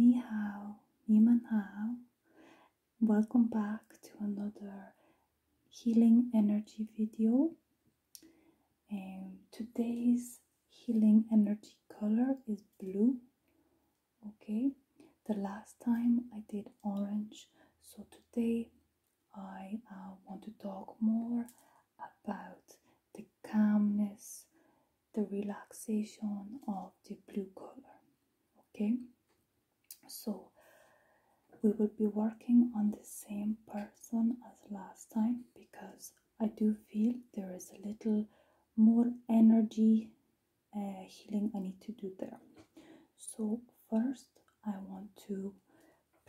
Ni hao, ni man hao. Welcome back to another healing energy video. Um, today's healing energy color is blue. Okay, the last time I did orange, so today I uh, want to talk more about the calmness, the relaxation of the blue color okay so we will be working on the same person as last time because I do feel there is a little more energy uh, healing I need to do there. So, first, I want to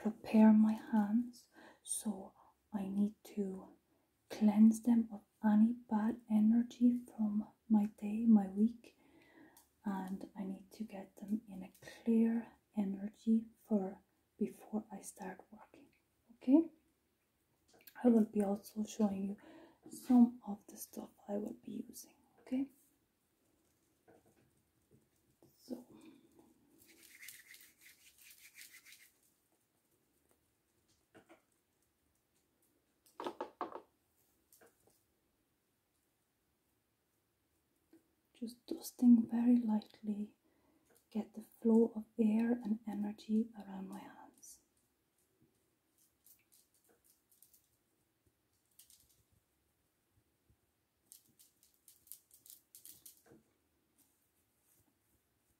prepare my hands. So, I need to cleanse them of any bad energy from my day, my week, and I need to get them in a clear energy for before I start working. Okay, I will be also showing you some of the stuff I will be using. Okay. So just dusting very lightly, get the flow of air and energy around my hands.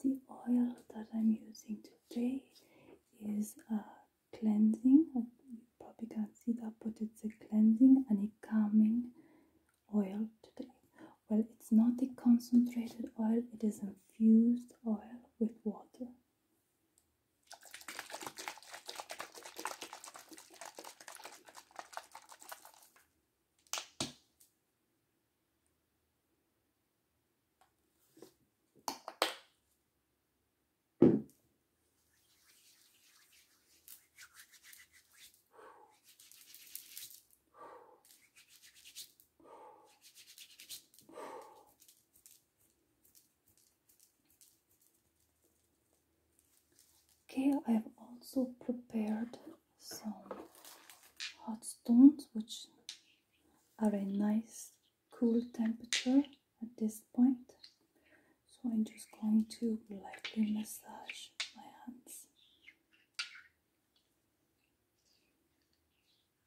The oil that I'm using today is a uh, cleansing, probably can see that, but it's a cleansing and a calming oil today. Well, it's not a concentrated oil, it is infused oil with water. I've also prepared some hot stones which are a nice cool temperature at this point so I'm just going to lightly massage my hands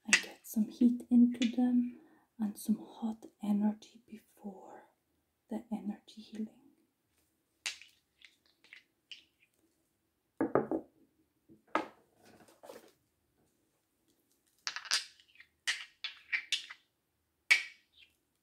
and get some heat into them and some hot energy before the energy healing.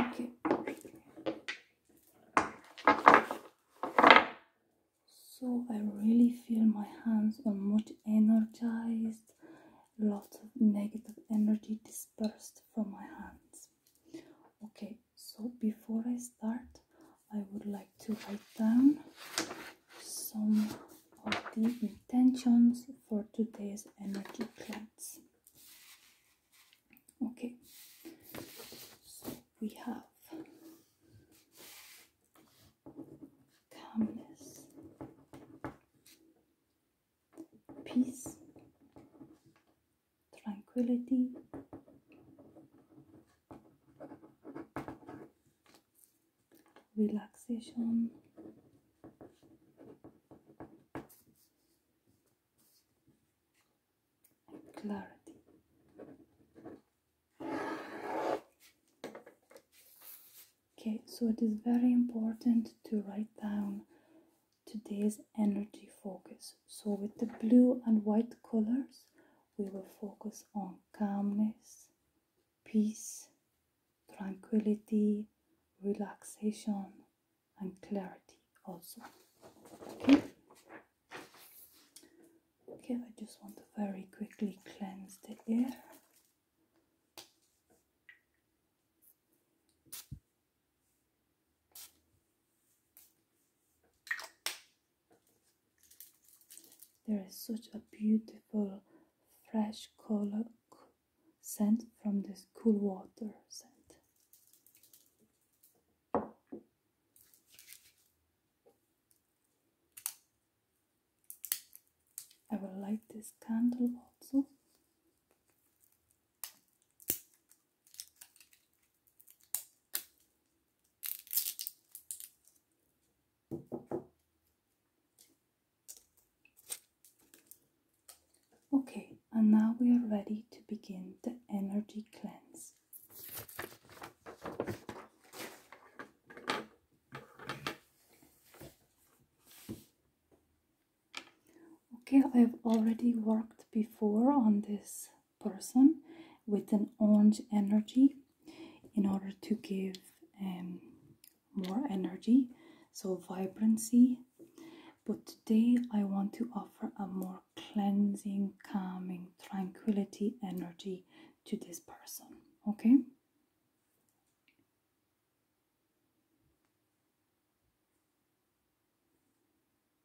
okay so I really feel my hands are much energized lots of negative energy dispersed from my hands okay so before I start I would like to write down some of the intentions for today's energy cleanse. Okay, so we have calmness, peace, tranquility, relaxation clarity. Okay, so it is very important to write down today's energy focus. So, with the blue and white colors, we will focus on calmness, peace, tranquility, relaxation, and clarity also. Okay. Okay, I just want to very quickly cleanse the air. There is such a beautiful fresh color scent from this cool water scent. I will light this candle also. Okay, and now we are ready to begin the energy cleanse. Okay, I've already worked before on this person with an orange energy in order to give um, more energy, so vibrancy. But today I want to offer a more cleansing, calming, tranquility energy to this person. Okay?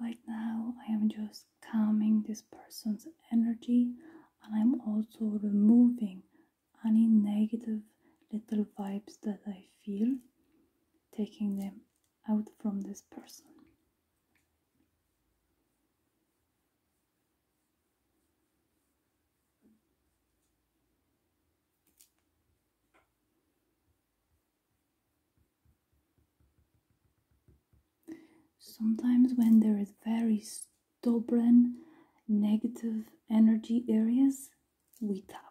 Right now, I am just calming this person's energy and I'm also removing any negative little vibes that I feel, taking them out from this person. Sometimes, when there is very stubborn negative energy areas, we tap.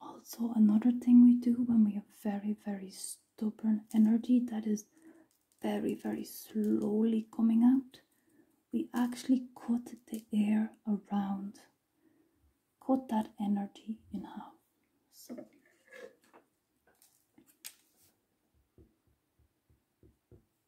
Also, another thing we do when we have very, very stubborn energy that is very, very slowly coming out, we actually cut the air around, cut that energy in half.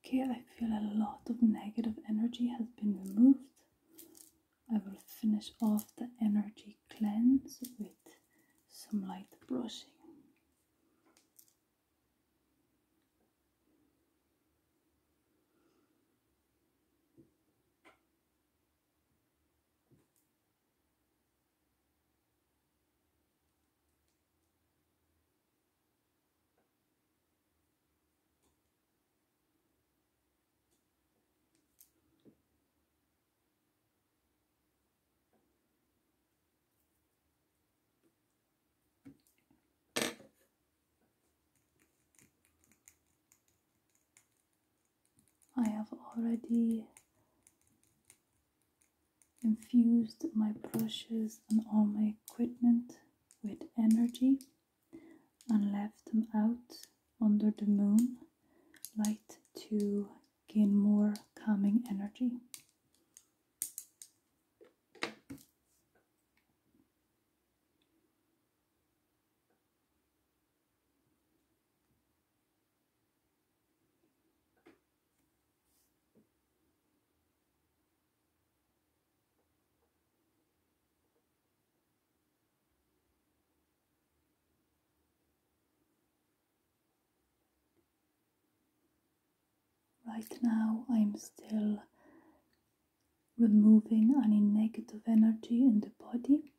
Okay, I feel a lot of negative energy has been removed. I will finish off the energy cleanse with some light brushing. I have already infused my brushes and all my equipment with energy and left them out under the moon light to gain more calming energy. Right now, I'm still removing any negative energy in the body.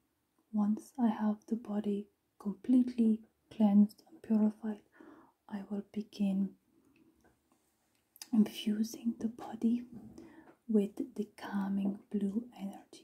Once I have the body completely cleansed and purified, I will begin infusing the body with the calming blue energy.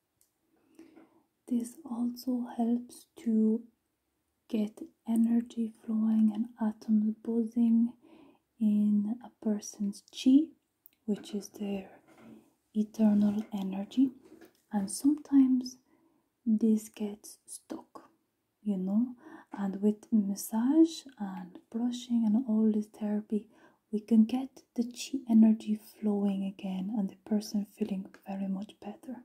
This also helps to get energy flowing and atoms buzzing in a person's chi, which is their eternal energy. And sometimes this gets stuck, you know. And with massage and brushing and all this therapy, we can get the chi energy flowing again and the person feeling very much better.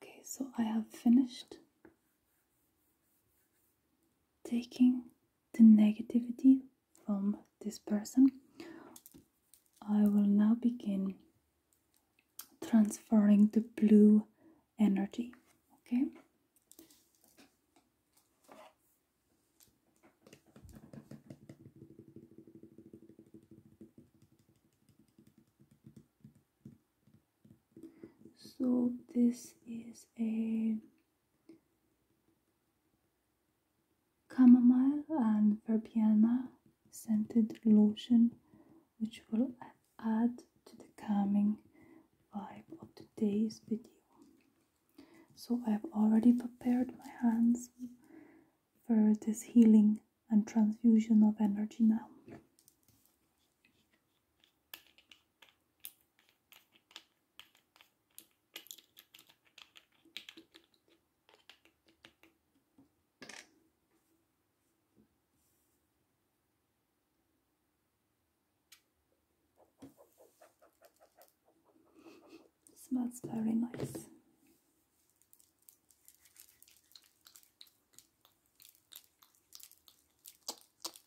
Okay, so I have finished taking the negativity from this person. I will now begin transferring the blue energy. Okay. So this is a Camomile and verbena scented lotion which will add to the calming vibe of today's video. So I've already prepared my hands for this healing and transfusion of energy now smells very nice.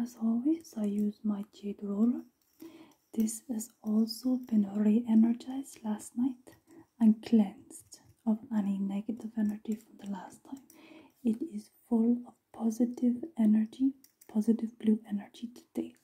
As always, I use my jade roller. This has also been re-energized last night and cleansed of any negative energy from the last time. It is full of positive energy, positive blue energy today.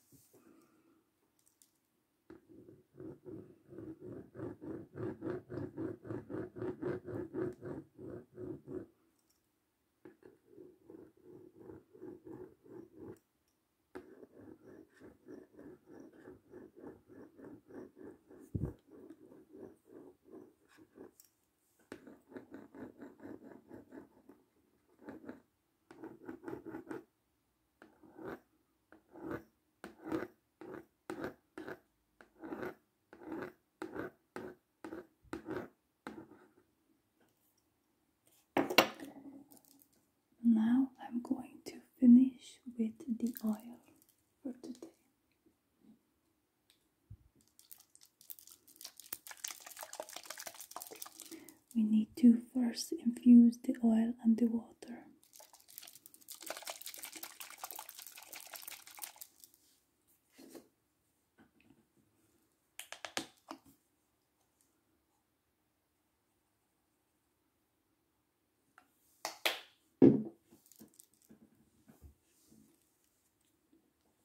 Now I'm going to finish with the oil for today. We need to first infuse the oil and the water.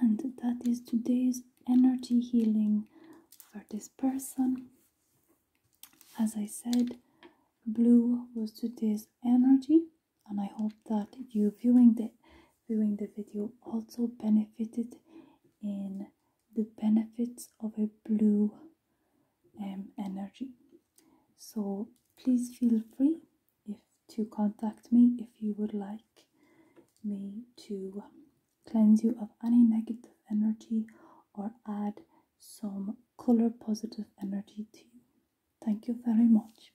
And that is today's energy healing for this person. As I said, blue was today's energy and I hope that you viewing the viewing the video also benefited in the benefits of a blue um, energy so please feel free if to contact me if you would like me to cleanse you of any negative energy or add some color positive energy to you thank you very much